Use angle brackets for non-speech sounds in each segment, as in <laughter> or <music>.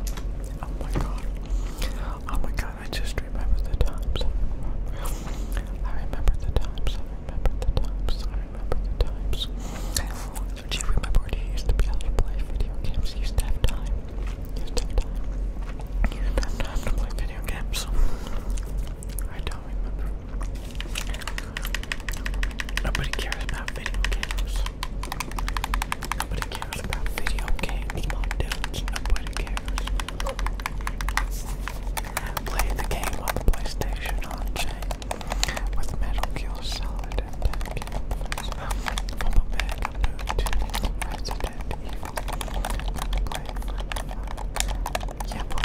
Oh my god. Oh my god, I just remember the times. I remember the times. I remember the times. I remember the times. Do you used to play video games? used to have time. used to have time. You did have time to video games. I don't remember. Nobody cares about video games. Nobody about video games, dudes. Nobody cares. Played the game on PlayStation on chain with Metal Gear Solid and Tekken. From a man moved to Resident Evil. Play Yeah, play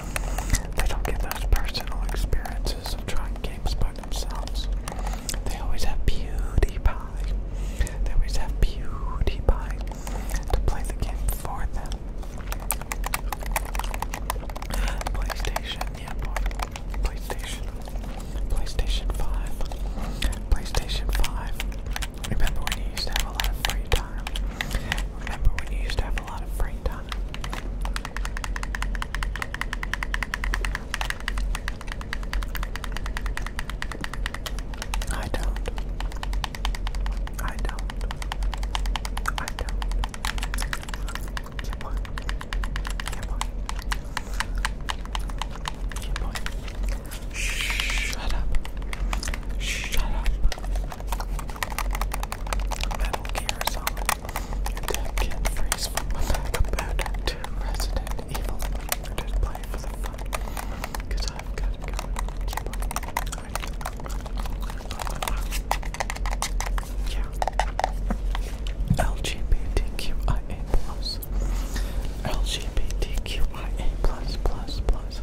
They don't get those personal experiences trying games by themselves. They always have PewDiePie. They always have PewDiePie to play the game for them. PlayStation, yeah boy. PlayStation. PlayStation 5. PlayStation 5. Remember when you used to have a lot of free time? farm. Remember when you used to have a lot of free time? I don't. I don't. I don't. Keep Shut up. Shut up. Metal Gear Solid. Attack can freeze from a back of batter to Resident Evil. I just play for fun. Cause I've got Yeah. LGBTQIA plus. LGBTQIA plus plus plus.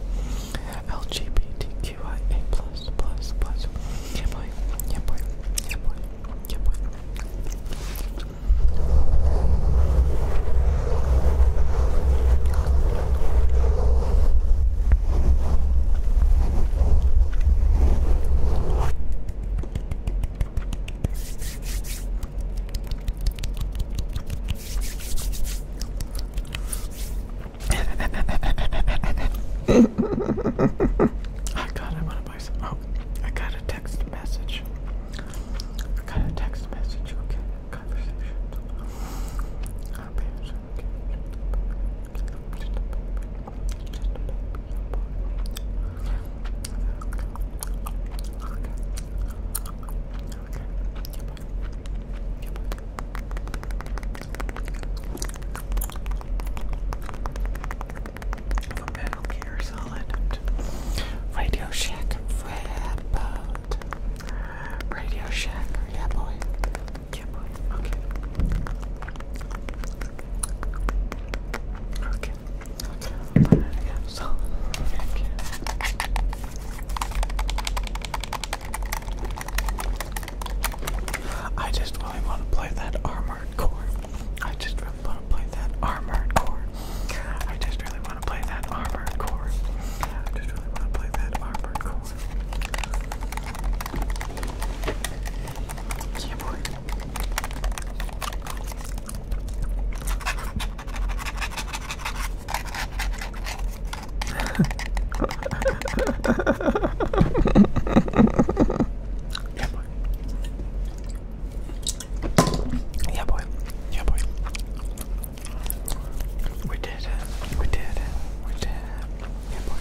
LGBTQIA plus plus plus. Yeah boy, yeah boy, yeah boy, yeah boy. I got I wanna buy some oh I got a text message. I got a text message, okay. Metal Gear Solid. Radio Shack Red Boat. Radio Shack, yeah boy. Yeah boy, okay. Okay. Okay, okay. I just really want to play that armored core. I just really want to play that armored core. I just really want to play that armored core. I just really want to play that armored core. Yeah, boy yeah, boy. Yeah, boy. Yeah, boy. We did it. We did it. We did it. Yeah, boy.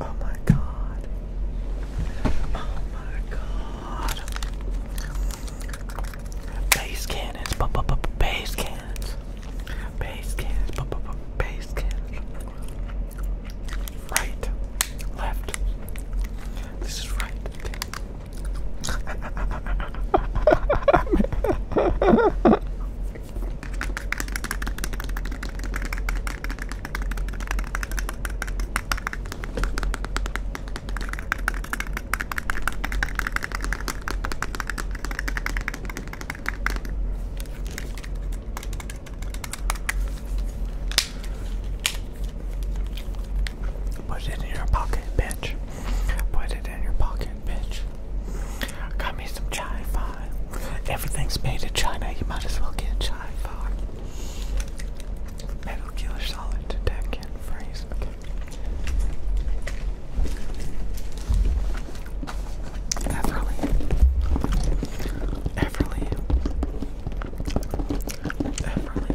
Oh my god. Oh my god. Base cannons. B -b -b base cannons. Base cannons. B -b -b base cannons. Right. Left. This is right. <laughs> Put it in your pocket, bitch. Put it in your pocket, bitch. Got me some chai fun. Everything's made in China, you might as well get chai fun. Metal killer solid to deck and freeze. Everly. Everly. Everly.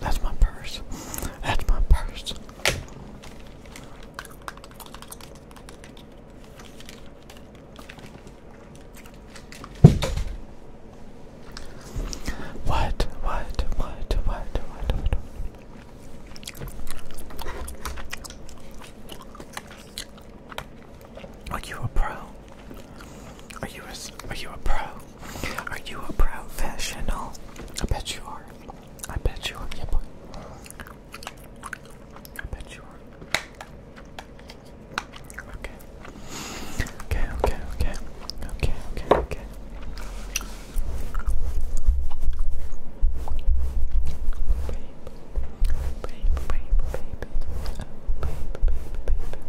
That's my purse. That's my purse. What? What? What? What? What? Are you a pro? Are you a, are you a pro? Are you a professional? I bet you are. I bet you are. Yeah, boy. I bet you are. Okay. Okay, okay, okay. Okay, okay, okay. Babe, babe, babe, babe, babe,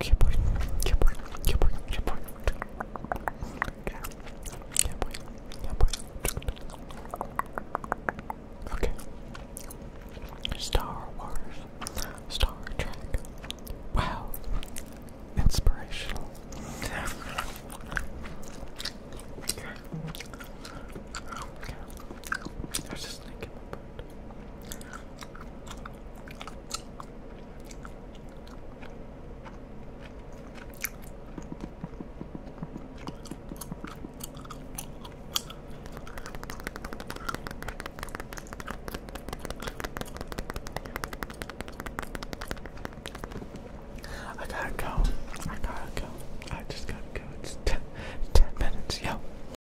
Keyboard, keyboard, keyboard, keyboard. Yeah. boy. Yeah, boy. Okay. Star Wars. Star Trek. Wow. Inspirational. Okay. I was just thinking I gotta go. I gotta go. I just gotta go. It's ten, ten minutes. Yo.